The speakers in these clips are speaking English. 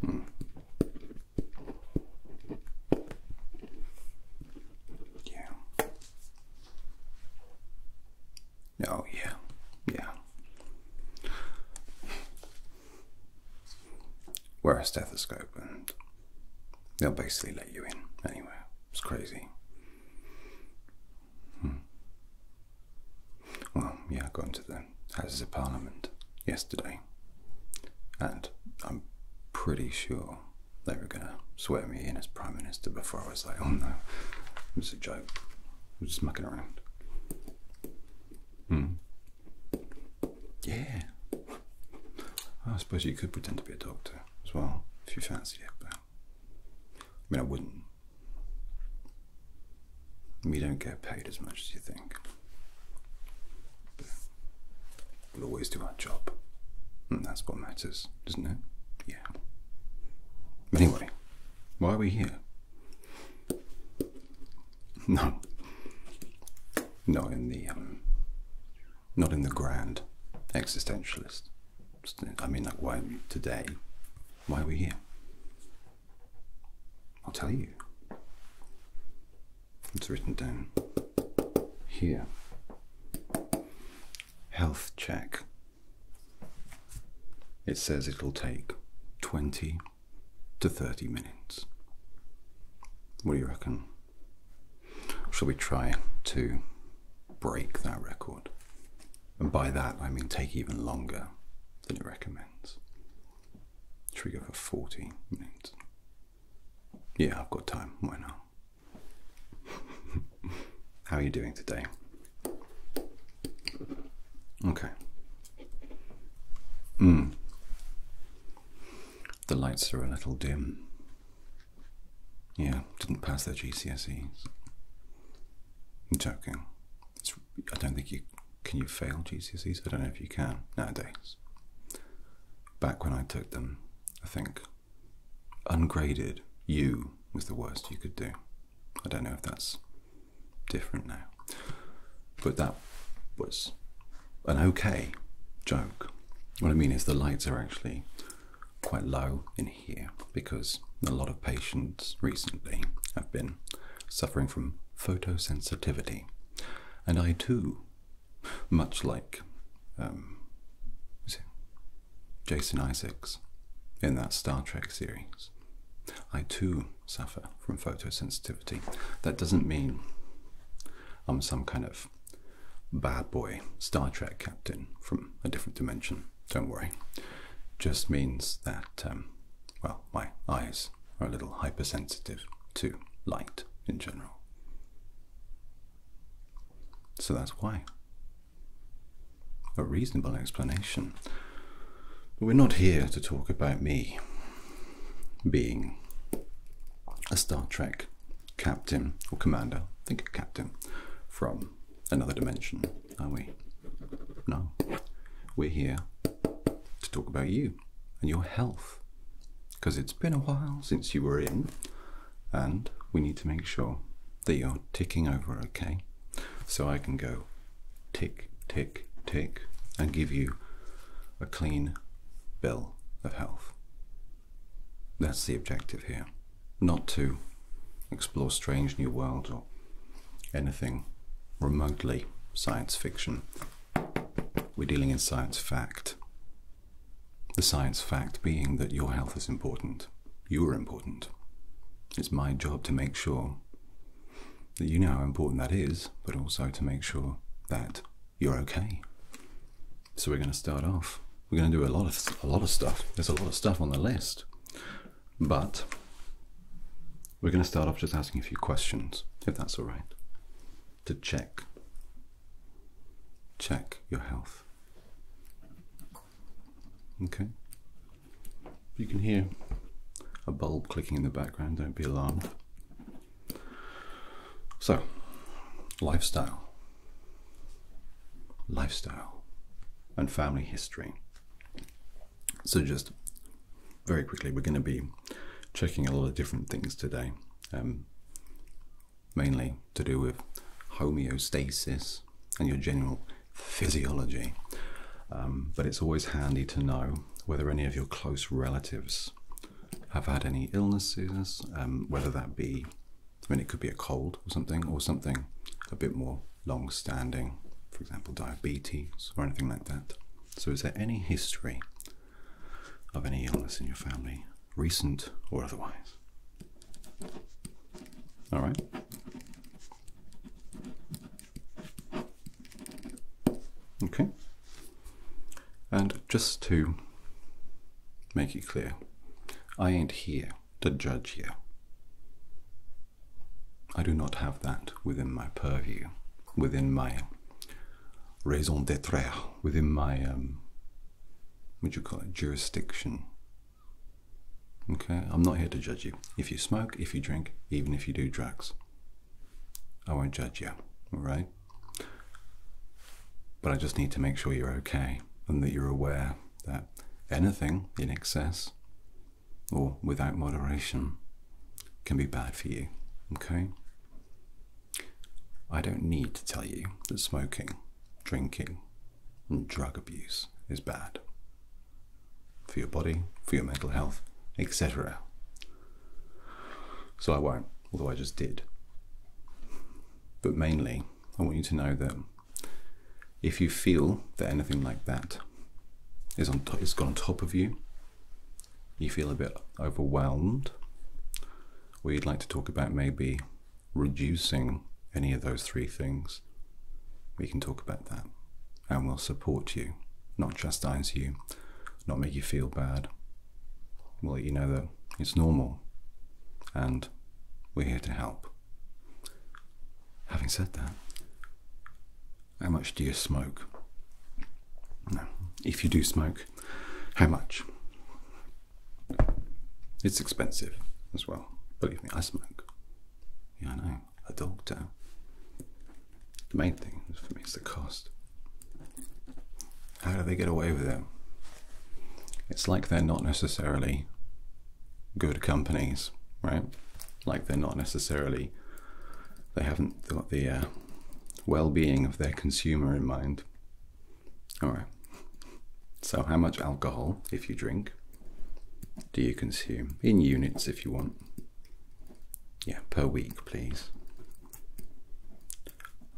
Hmm. Yeah. Oh, yeah. Yeah. Wear a stethoscope and they'll basically let you in anyway. It's crazy. Hmm. Well, yeah, I got into the Houses of Parliament yesterday. And I'm pretty sure they were gonna swear me in as Prime Minister before I was like, oh no, it was a joke. I was just mucking around. Hmm. Yeah. I suppose you could pretend to be a doctor as well, if you fancy it, I mean I wouldn't. We don't get paid as much as you think. we'll always do our job. And that's what matters, doesn't it? Yeah. Anyway, why are we here? No. Not in the um, not in the grand existentialist. I mean like why today? Why are we here? I'll tell you. It's written down here. Health check. It says it'll take 20 to 30 minutes. What do you reckon? Shall we try to break that record? And by that I mean take even longer than it recommends. Should we go for 40 minutes? Yeah, I've got time. Why not? How are you doing today? Okay. Mm. The lights are a little dim. Yeah, didn't pass their GCSEs. I'm joking. I don't think you can you fail GCSEs. I don't know if you can nowadays. Back when I took them, I think ungraded U was the worst you could do. I don't know if that's different now, but that was an okay joke. What I mean is the lights are actually quite low in here because a lot of patients recently have been suffering from photosensitivity. And I too, much like um, Jason Isaacs in that Star Trek series, I too suffer from photosensitivity. That doesn't mean I'm some kind of bad boy Star Trek captain from a different dimension, don't worry. Just means that, um, well, my eyes are a little hypersensitive to light in general. So that's why. A reasonable explanation. But we're not here to talk about me being a Star Trek captain or commander, think of captain, from another dimension, are we? No. We're here to talk about you and your health because it's been a while since you were in and we need to make sure that you're ticking over okay. So I can go tick, tick, tick and give you a clean bill of health. That's the objective here, not to explore strange new worlds or anything remotely science fiction. We're dealing in science fact. The science fact being that your health is important. You are important. It's my job to make sure that you know how important that is, but also to make sure that you're okay. So we're going to start off. We're going to do a lot of a lot of stuff. There's a lot of stuff on the list, but we're going to start off just asking a few questions, if that's all right, to check check your health. Okay. You can hear a bulb clicking in the background, don't be alarmed. So, lifestyle. Lifestyle and family history. So just very quickly, we're going to be checking a lot of different things today, um, mainly to do with homeostasis and your general physiology. Um, but it's always handy to know whether any of your close relatives have had any illnesses, um, whether that be, I mean, it could be a cold or something, or something a bit more long standing, for example, diabetes or anything like that. So, is there any history of any illness in your family, recent or otherwise? All right. Okay. And just to make it clear, I ain't here to judge you. I do not have that within my purview, within my raison d'etre, within my, um, what do you call it, jurisdiction. Okay, I'm not here to judge you. If you smoke, if you drink, even if you do drugs, I won't judge you, alright? But I just need to make sure you're okay and that you're aware that anything in excess or without moderation can be bad for you. Okay? I don't need to tell you that smoking, drinking, and drug abuse is bad for your body, for your mental health, etc. So I won't, although I just did. But mainly, I want you to know that if you feel that anything like that is on top, it on top of you, you feel a bit overwhelmed, we would like to talk about maybe reducing any of those three things, we can talk about that and we'll support you, not chastise you, not make you feel bad. We'll let you know that it's normal and we're here to help. Having said that, how much do you smoke? If you do smoke, how much? It's expensive as well. Believe me, I smoke. Yeah, I know. A doctor. The main thing for me is the cost. How do they get away with it? It's like they're not necessarily good companies, right? like they're not necessarily they haven't got the uh, well-being of their consumer in mind. All right. So, how much alcohol, if you drink, do you consume in units, if you want? Yeah, per week, please.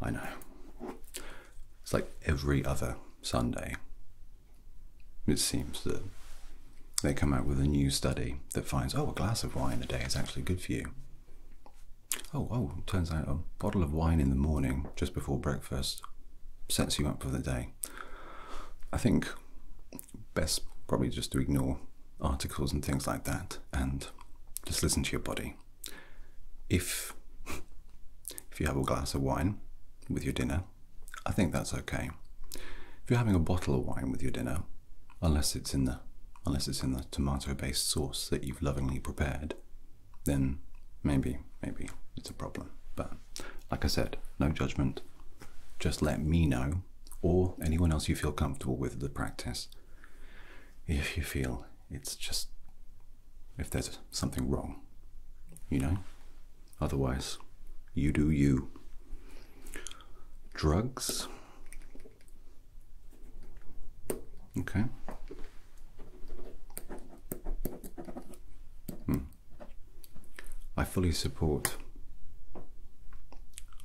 I know. It's like every other Sunday. It seems that they come out with a new study that finds, oh, a glass of wine a day is actually good for you. Oh, oh, turns out a bottle of wine in the morning, just before breakfast, sets you up for the day. I think best probably just to ignore articles and things like that and just listen to your body. If if you have a glass of wine with your dinner, I think that's okay. If you're having a bottle of wine with your dinner, unless it's in the unless it's in the tomato-based sauce that you've lovingly prepared, then maybe maybe it's a problem. But like I said, no judgment. Just let me know or anyone else you feel comfortable with the practice if you feel it's just if there's something wrong, you know? Otherwise, you do you drugs. Okay. Hmm. I fully support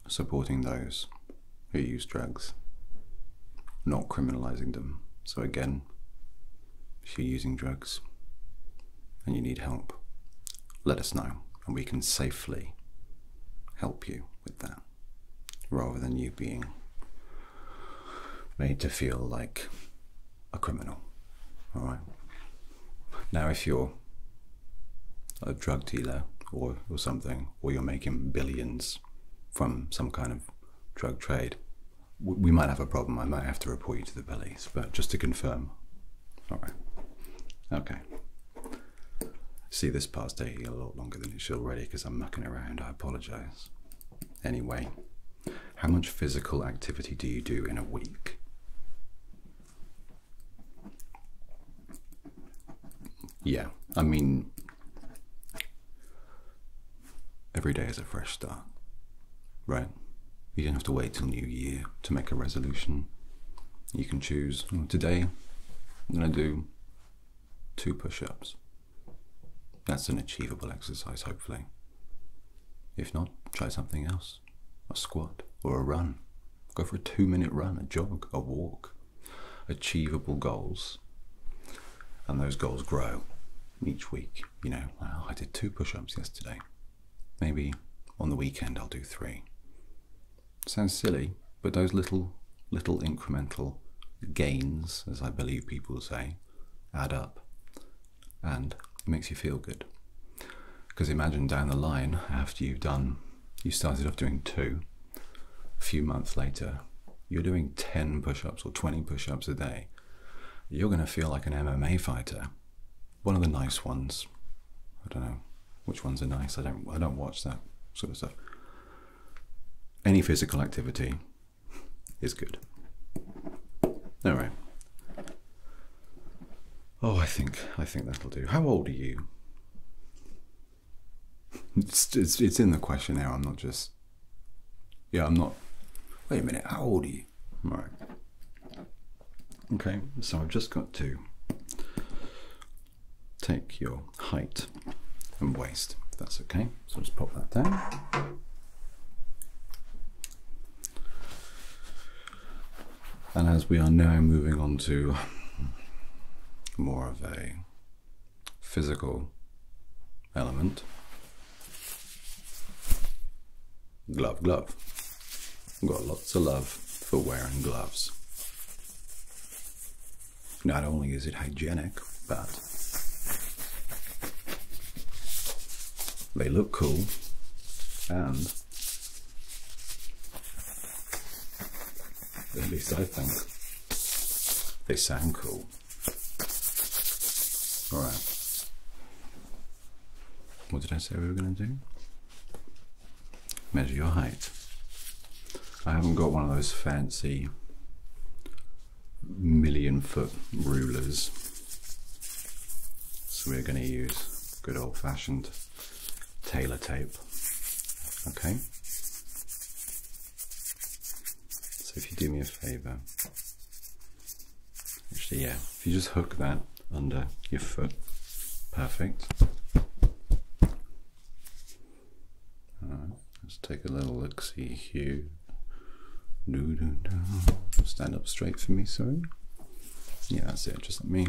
supporting those who use drugs, not criminalizing them. So, again, if you're using drugs and you need help, let us know and we can safely help you with that rather than you being made to feel like a criminal. All right. Now, if you're a drug dealer or, or something, or you're making billions from some kind of drug trade, we might have a problem. I might have to report you to the police, but just to confirm. All right. Okay. See, this part's taking a lot longer than it should already because I'm mucking around. I apologize. Anyway, how much physical activity do you do in a week? Yeah, I mean, every day is a fresh start, right? You don't have to wait till New Year to make a resolution you can choose today I'm going to do two push ups. That's an achievable exercise, hopefully. If not, try something else a squat or a run. Go for a two minute run, a jog, a walk. Achievable goals. And those goals grow each week. You know, I did two push ups yesterday. Maybe on the weekend I'll do three. Sounds silly, but those little, little incremental gains, as I believe people say, add up and makes you feel good. Because imagine down the line, after you've done, you started off doing two, a few months later, you're doing 10 push ups or 20 push ups a day. You're going to feel like an MMA fighter one of the nice ones. I don't know which ones are nice. I don't I don't watch that sort of stuff. Any physical activity is good. All right. Oh, I think I think that'll do. How old are you? It's, it's, in the questionnaire. I'm not just. Yeah, I'm not. Wait a minute. How old are you? All right. Okay, so I've just got to take your height and waist, that's okay. So just pop that down. And as we are now moving on to more of a physical element, glove glove. Got lots of love for wearing gloves. Not only is it hygienic, but they look cool and at least I think they sound cool. Alright. What did I say we were going to do? Measure your height. I haven't got one of those fancy million foot rulers. So we're going to use good old fashioned tailor tape. Okay? So if you do me a favor, actually, yeah, if you just hook that under your foot. Perfect. let's take a little look see here. Do, do, do. Stand up straight for me, sorry. Yeah, that's it. Just let me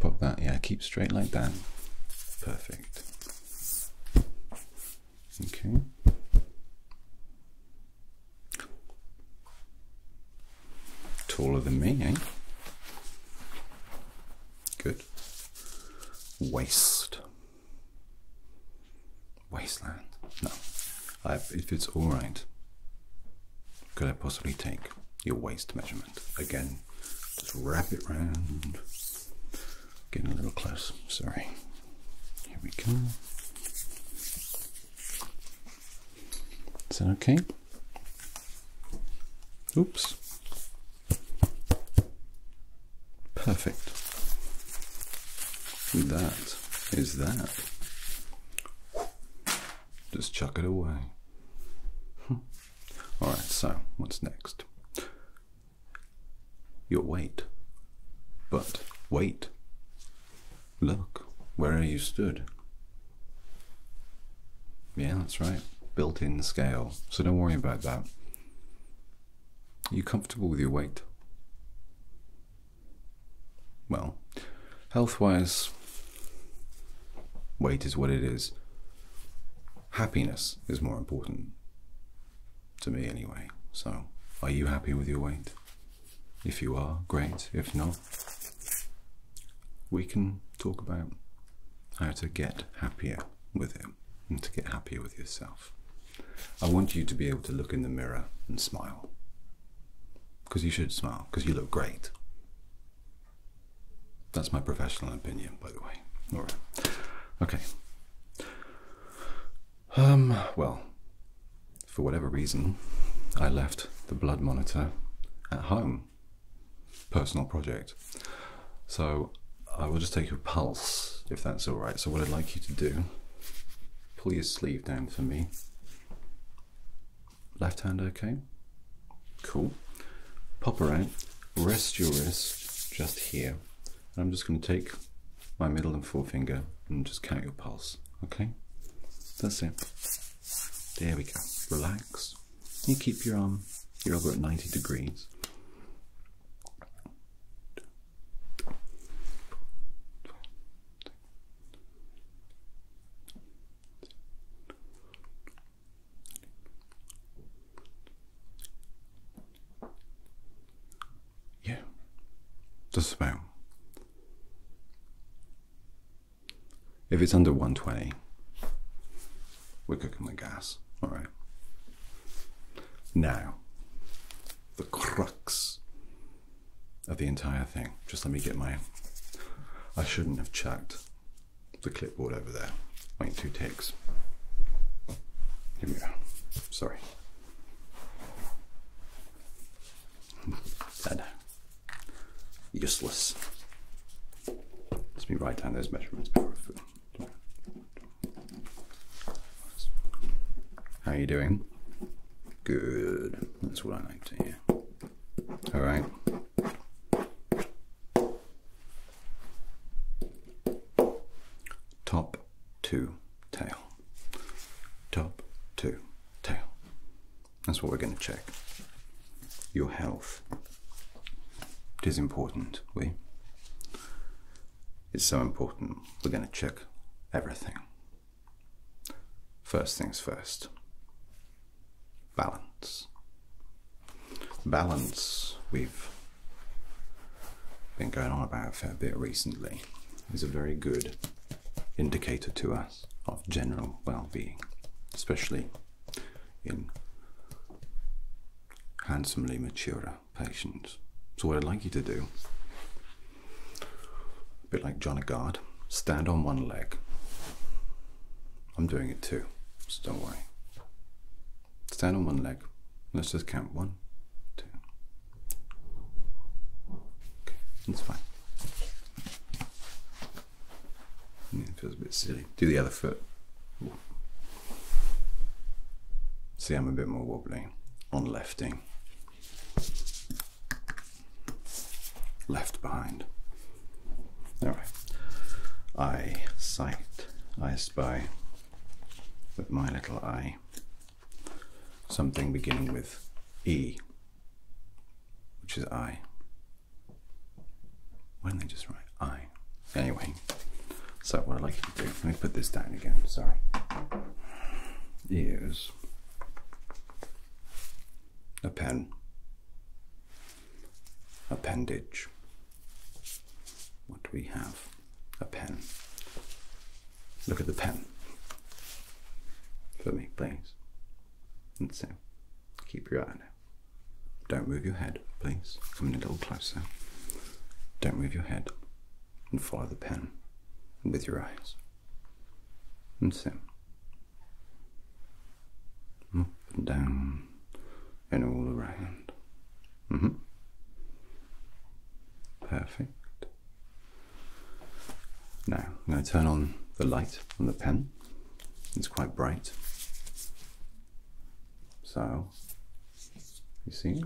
pop that. Yeah, keep straight like that. Perfect. Okay. Taller than me, eh? Good. Waste. Wasteland. No. if it's alright, could I possibly take your waist measurement? Again, just wrap it round. Getting a little close, sorry. Here we go. Is that okay? Oops. Perfect. That is that. Just chuck it away. Hmm. Alright, so what's next? Your weight. But wait, Look, where you stood. Yeah, that's right. Built in scale. So don't worry about that. Are you comfortable with your weight? Well, health wise, weight is what it is. Happiness is more important. To me, anyway. So, are you happy with your weight? If you are, great. If not, we can talk about how to get happier with it and to get happier with yourself. I want you to be able to look in the mirror and smile. Because you should smile, because you look great. That's my professional opinion, by the way. All right. Okay. Um, well, for whatever reason, I left the blood monitor at home. Personal project. So I will just take your pulse if that's alright. So, what I'd like you to do, pull your sleeve down for me. Left hand okay? Cool. Pop her out, rest your wrist just here. I'm just going to take my middle and forefinger and just count your pulse. Okay? That's it. There we go. Relax. You keep your arm, um, you're over at 90 degrees. Yeah, just about. If it's under 120, we're cooking the gas. All right. Now, the crux of the entire thing. Just let me get my. I shouldn't have checked the clipboard over there. Wait, two takes. Here we go. Sorry. Dead. Useless. Let me write down those measurements How are you doing? Good. That's what I like to hear. Alright. Top, two, tail. Top, two, tail. That's what we're going to check. Your health. It is important, we. It's so important, we're going to check everything. First things first balance. Balance, we've been going on about a fair bit recently, is a very good indicator to us of general well being, especially in handsomely mature patients. So, what I'd like you to do, a bit like John Agard, stand on one leg. I'm doing it too, so don't worry. Stand on one leg. Let's just count one, two. Okay, that's fine it feels a bit silly. Do the other foot. See, I'm a bit more wobbly on lefting. Left behind. Alright. I sight, I spy with my little eye something beginning with E which is I. Why don't they just write I? Anyway, so what I'd like you to do, let me put this down again, sorry, is a pen, appendage. What do we have? A pen. Look at the pen for me, please. And so, keep your eye on it. Don't move your head, please. Coming a little closer. Don't move your head. And follow the pen with your eyes. And so, up and down and all around. -hmm. Perfect. Now, I'm going to turn on the light on the pen. It's quite bright. So, you see?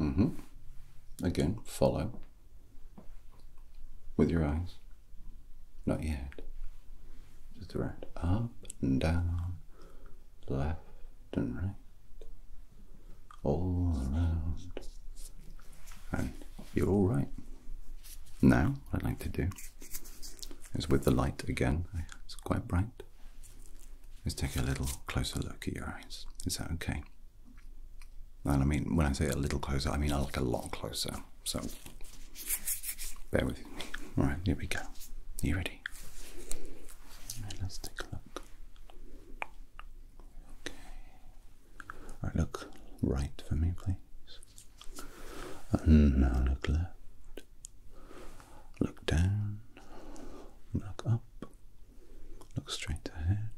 Mm hmm. Again, follow with your eyes. Not yet. Just around. Up and down, left and right, all around, and you're all right. Now, what I'd like to do is with the light again, it's quite bright. Let's take a little closer look at your eyes. Is that okay? And I mean, when I say a little closer, I mean like a lot closer. So, bear with me. All right, here we go. Are you ready? right, let's take a look. Okay. look right for me, please. now look left. Look down. Look up. Look straight ahead.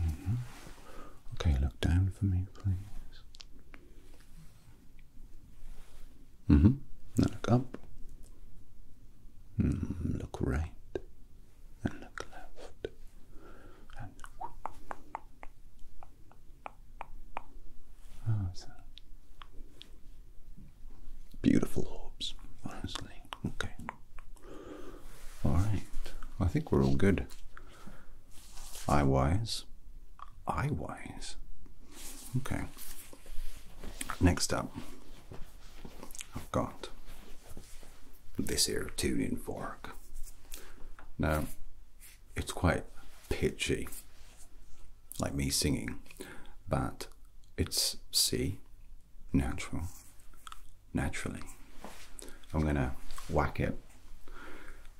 Mm-hmm. Okay, look down for me, please. Mm-hmm. Now look up. Hmm, look right and look left. Oh, beautiful orbs, honestly. Okay. Alright. I think we're all good. Eye wise. Eye wise. Okay. Next up, I've got this here tuning fork. Now, it's quite pitchy, like me singing, but it's C, natural, naturally. I'm gonna whack it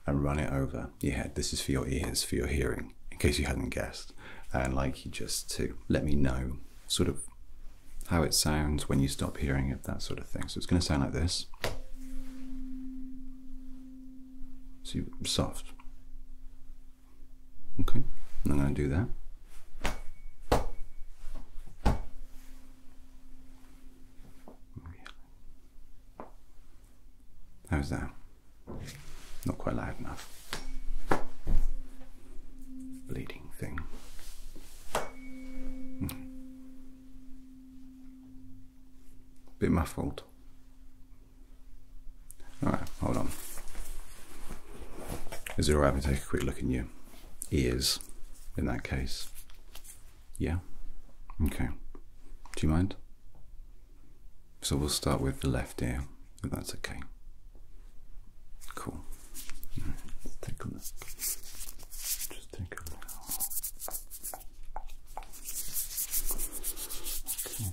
and run it over your head. This is for your ears, for your hearing, in case you hadn't guessed. And like you just to let me know sort of how it sounds when you stop hearing it, that sort of thing. So it's going to sound like this. See, soft. Okay, I'm going to do that. How's that? Not quite loud enough. Bleeding thing. Mm. Bit muffled. Alright, hold on. Is it alright if to take a quick look at your ears in that case? Yeah? Okay. Do you mind? So we'll start with the left ear if that's okay. Cool. take a look. Just take a look. Okay.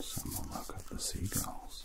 Someone look at the seagulls.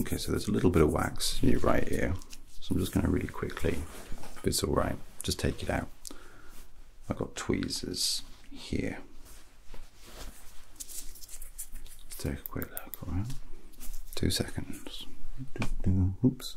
Okay, so there's a little bit of wax in right here. So I'm just going to really quickly, if it's all right, just take it out. I've got tweezers here. take a quick look, around. right? Two seconds. Oops.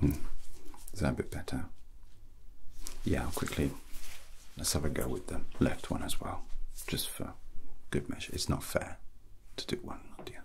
Hmm. Is that a bit better? Yeah, quickly let's have a go with the left one as well, just for good measure. It's not fair to do one, not the other.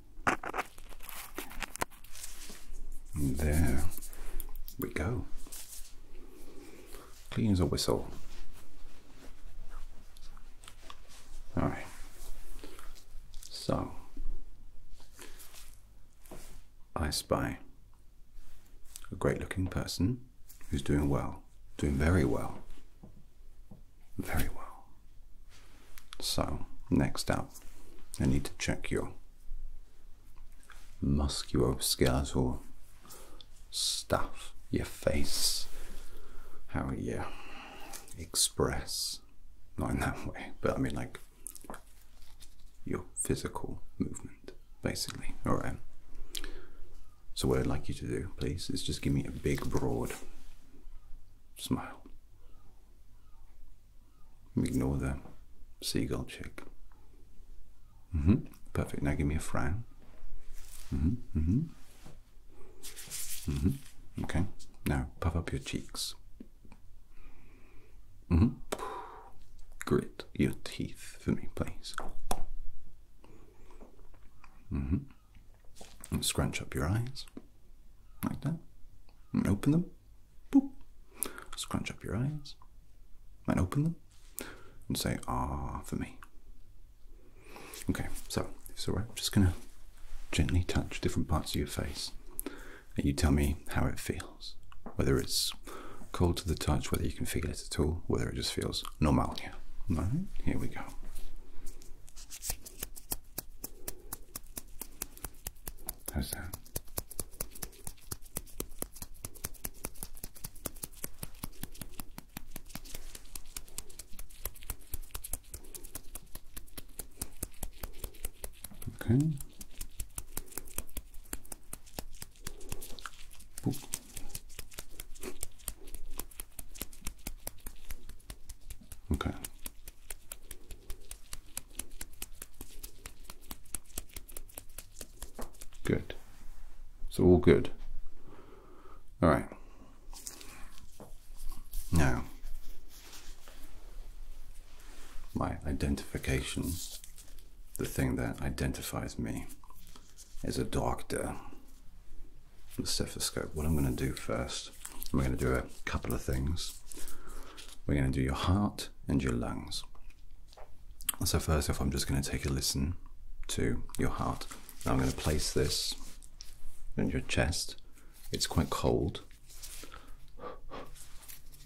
There we go. Clean as a whistle. Alright. So, I spy a great looking person who's doing well, doing very well, very well. So, next up, I need to check your musculoskeletal stuff, your face, how you express, not in that way, but I mean like your physical movement, basically. All right. So what I'd like you to do, please, is just give me a big, broad smile. Ignore the seagull chick. Mm-hmm. Perfect. Now give me a frown. Mm-hmm. Mm-hmm. Okay. Now puff up your cheeks. Grit your teeth for me, please. And scrunch up your eyes like that. And open them. Boop. Scrunch up your eyes and open them and say, ah, for me. Okay, so so right. I'm just going to gently touch different parts of your face and you tell me how it feels, whether it's cold to the touch, whether you can feel it at all, whether it just feels normal here. All right, here we go. How's that? Okay. Okay. Good. So all good. All right. Now, my identification, the thing that identifies me, is a doctor. The stethoscope. What I'm going to do first we're going to do a couple of things. We're going to do your heart and your lungs. So, first off, I'm just going to take a listen to your heart. Now I'm going to place this in your chest. It's quite cold,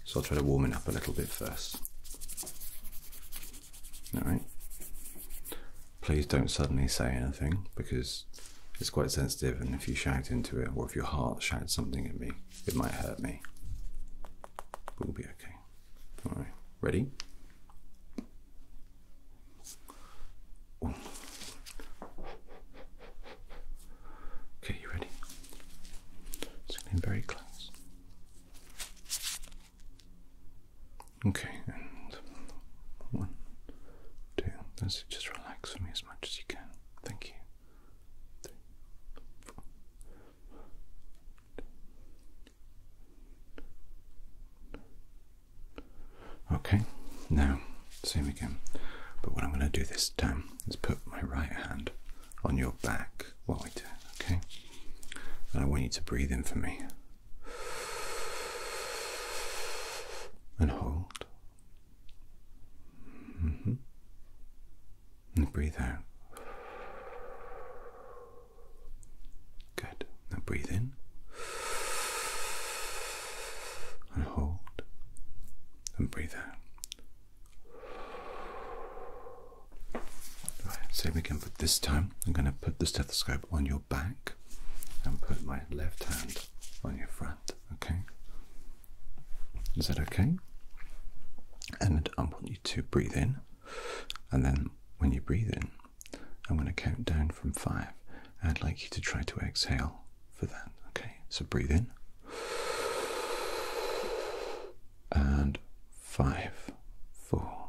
so I'll try to warm it up a little bit first. Alright. Please don't suddenly say anything because it's quite sensitive, and if you shout into it, or if your heart shouts something at me, it might hurt me. We'll be okay. All right, ready? Okay, you ready? Just going very close. Okay, and one, two. Just relax for me as much as you can. Thank you. Okay, now same again. But what I'm going to do this time is put my right hand on your back while I do it, okay? And I want you to breathe in for me and hold Mm -hmm. And breathe out. Good. Now breathe in. And hold. And breathe out. Right, so we can put this time, I'm going to put the stethoscope on your back and put my left hand on your front, okay? Is that okay? And I want you to breathe in, and then when you breathe in, I'm going to count down from five. I'd like you to try to exhale for that, okay? So breathe in. And five, four,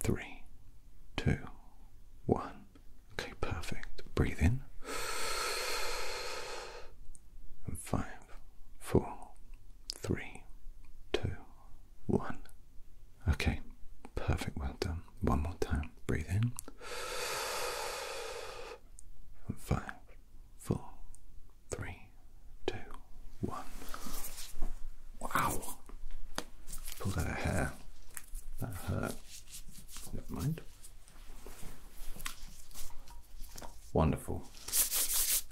three, two, one. Okay, perfect. Breathe in. And five, four, three, two, one. Okay, perfect. Well done. One more time. Breathe in. And five, four, three, two, one. Wow! Pulled out a hair. That hurt. Never mind. Wonderful.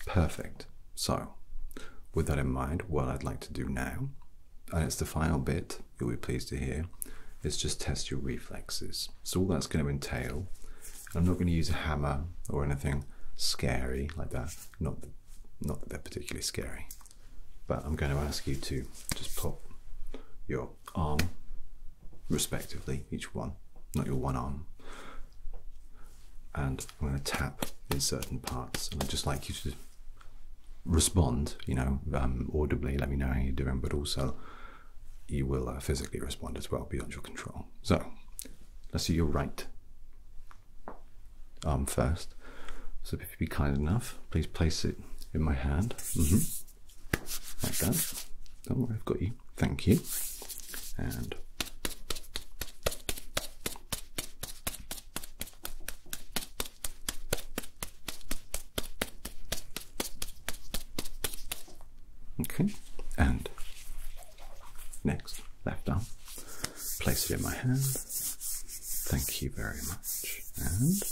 Perfect. So, with that in mind, what I'd like to do now, and it's the final bit you'll be pleased to hear, is just test your reflexes. So, all that's going to entail, I'm not going to use a hammer or anything scary like that, not that, not that they're particularly scary, but I'm going to ask you to just pop your arm, respectively, each one, not your one arm. And I'm going to tap in certain parts, and I'd just like you to respond, you know, um, audibly, let me know how you're doing, but also you will uh, physically respond as well beyond your control. So let's do your right arm first. So if you'd be kind enough, please place it in my hand. Mm-hmm like that. Don't worry, I've got you. Thank you. And okay, and next left arm. Place it in my hand. Thank you very much. And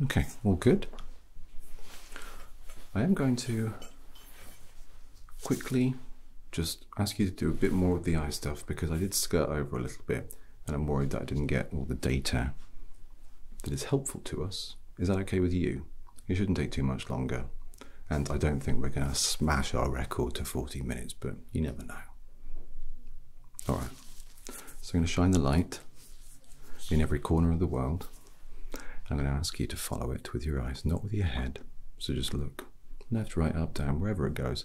Okay, all good. I am going to quickly just ask you to do a bit more of the eye stuff because I did skirt over a little bit and I'm worried that I didn't get all the data that is helpful to us. Is that okay with you? It shouldn't take too much longer. And I don't think we're going to smash our record to 40 minutes, but you never know. All right. So I'm going to shine the light in every corner of the world. I'm going to ask you to follow it with your eyes, not with your head. So just look left, right, up, down, wherever it goes.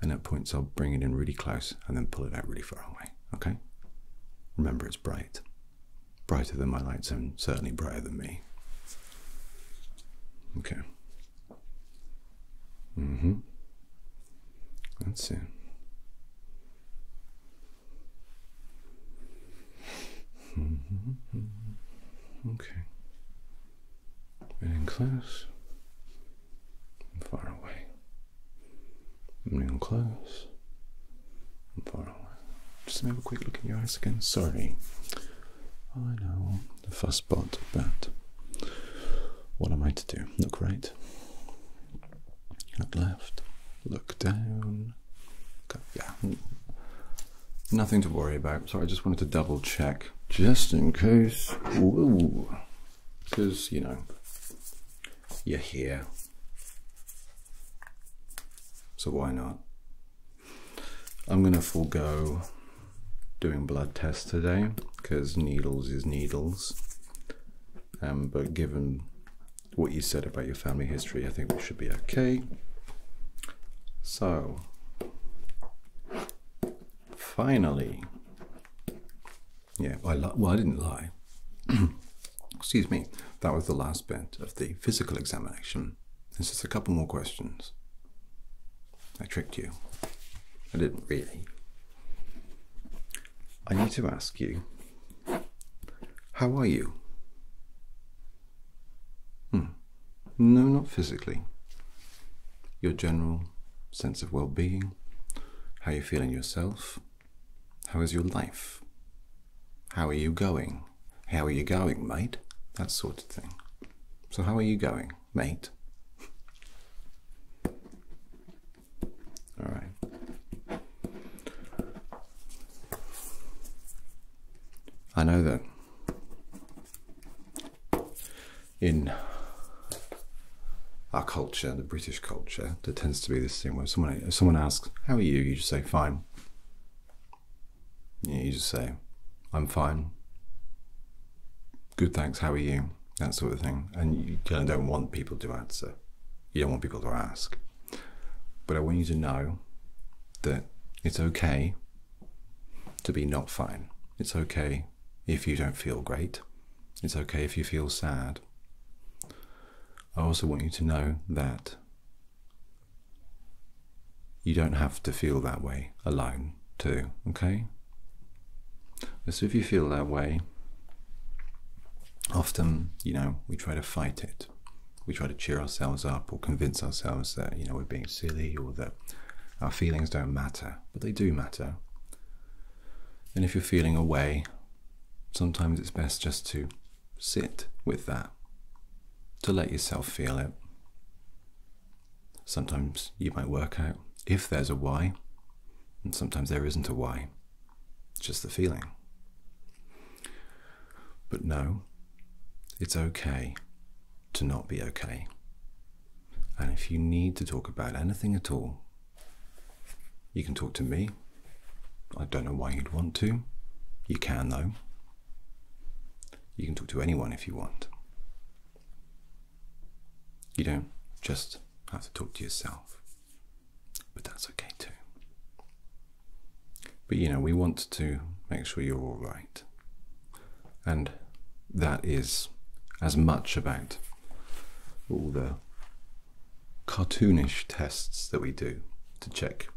And at points, I'll bring it in really close and then pull it out really far away. Okay? Remember, it's bright. Brighter than my lights, and certainly brighter than me. Okay. Mm-hmm. That's it. Mm-hmm. Okay. And in class, I'm far away. And in class, I'm far away. Just have a quick look in your eyes again. Sorry. I know the first part of that. What am I to do? Look right, look left, look down. Yeah, nothing to worry about. So I just wanted to double check, just in case. Because you know, you're here, so why not? I'm going to forego doing blood tests today because needles is needles. Um, but given what you said about your family history, I think we should be okay. So, finally, yeah, I well, I didn't lie. Excuse me, that was the last bit of the physical examination there's just a couple more questions. I tricked you. I didn't really. I need to ask you, how are you? Hmm. No, not physically. Your general sense of well being, how you feeling yourself, how is your life, how are you going? how are you going, mate? That sort of thing. So, how are you going, mate? All right. I know that in our culture, the British culture, there tends to be this thing where someone someone asks, "How are you?" you just say, "Fine," you just say, I'm fine. Good, thanks. How are you? That sort of thing. And you kind of don't want people to answer. You don't want people to ask. But I want you to know that it's okay to be not fine. It's okay if you don't feel great. It's okay if you feel sad. I also want you to know that you don't have to feel that way alone, too, okay? So if you feel that way, often, you know, we try to fight it. We try to cheer ourselves up or convince ourselves that, you know, we're being silly or that our feelings don't matter, but they do matter. And if you're feeling away, sometimes it's best just to sit with that to let yourself feel it. Sometimes you might work out if there's a why, and sometimes there isn't a why, just the feeling. But no, it's okay to not be okay. And if you need to talk about anything at all, you can talk to me. I don't know why you'd want to. You can, though. You can talk to anyone if you want. You don't just have to talk to yourself, but that's okay too. But you know, we want to make sure you're all right, and that is as much about all the cartoonish tests that we do to check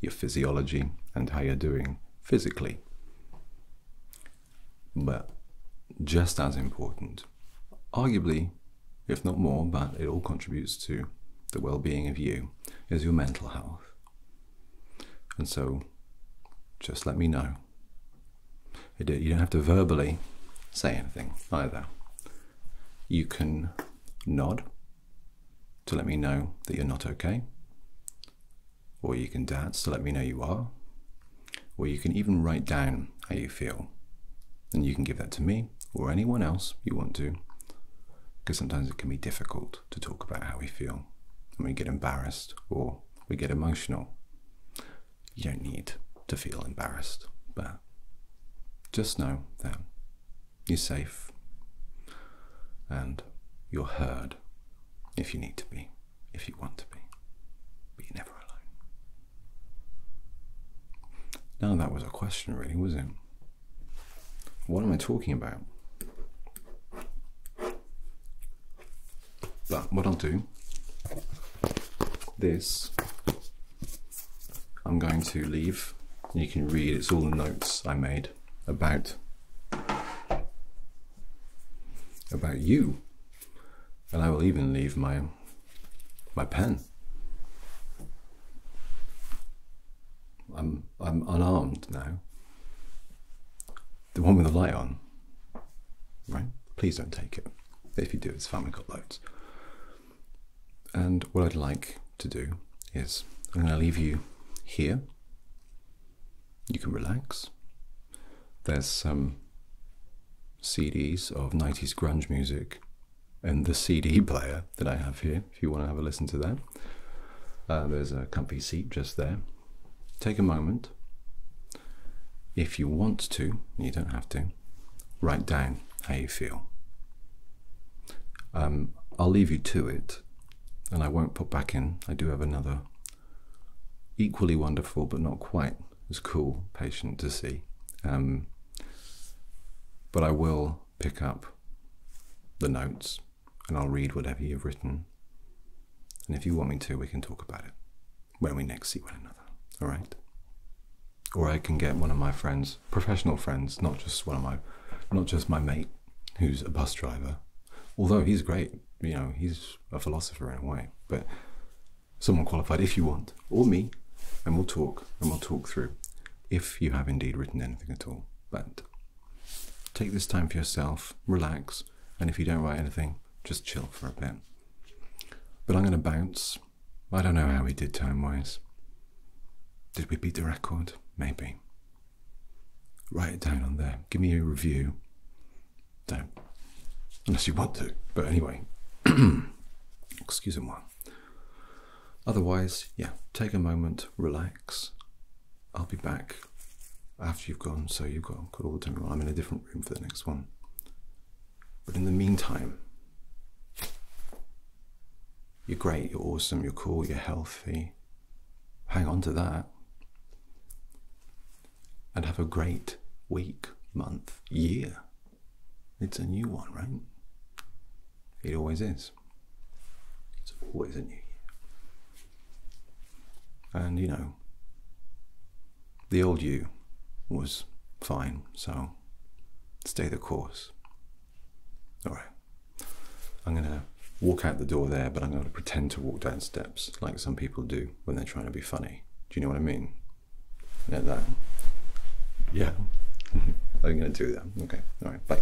your physiology and how you're doing physically. But just as important, arguably, if not more, but it all contributes to the well being of you, is your mental health. And so just let me know. You don't have to verbally say anything either. You can nod to let me know that you're not okay. Or you can dance to let me know you are. Or you can even write down how you feel. And you can give that to me or anyone else you want to, because sometimes it can be difficult to talk about how we feel. And we get embarrassed or we get emotional. You don't need to feel embarrassed, but just know that you're safe and you're heard if you need to be, if you want to be, but you're never alone. Now that was a question, really, was not it? What am I talking about? But what I'll do, this, I'm going to leave. You can read, it's all the notes I made about about you and I will even leave my my pen I'm I'm unarmed now the one with the light on right please don't take it if you do it's family got loads and what I'd like to do is I'm going to leave you here. You can relax. There's some CDs of 90s grunge music and the CD player that I have here if you want to have a listen to that. Uh, there's a comfy seat just there. Take a moment. If you want to, you don't have to, write down how you feel. Um, I'll leave you to it and I won't put back in. I do have another equally wonderful, but not quite as cool patient to see. Um, but I will pick up the notes and I'll read whatever you've written. And if you want me to, we can talk about it when we next see one another. All right? Or I can get one of my friends, professional friends, not just one of my, not just my mate, who's a bus driver, although he's great, you know, he's a philosopher in a way, but someone qualified if you want, or me, and we'll talk, and we'll talk through if you have indeed written anything at all. But take this time for yourself, relax, and if you don't write anything, just chill for a bit. But I'm going to bounce. I don't know how we did time wise. Did we beat the record? Maybe. Write it down on there. Give me a review. Don't. Unless you want to. But anyway. Excuse me. Otherwise, yeah, take a moment, relax. I'll be back after you've gone, so you've got all the time. I'm in a different room for the next one. But in the meantime, you're great, you're awesome, you're cool, you're healthy, hang on to that and have a great week, month, year. It's a new one, right? It always is. It's always a new year. And you know, the old you was fine, so stay the course. All right. I'm going to walk out the door there, but I'm going to pretend to walk down steps like some people do when they're trying to be funny. Do you know what I mean? Yeah, Yeah. Mm-hmm. I'm going to do that. Okay. All right. Bye.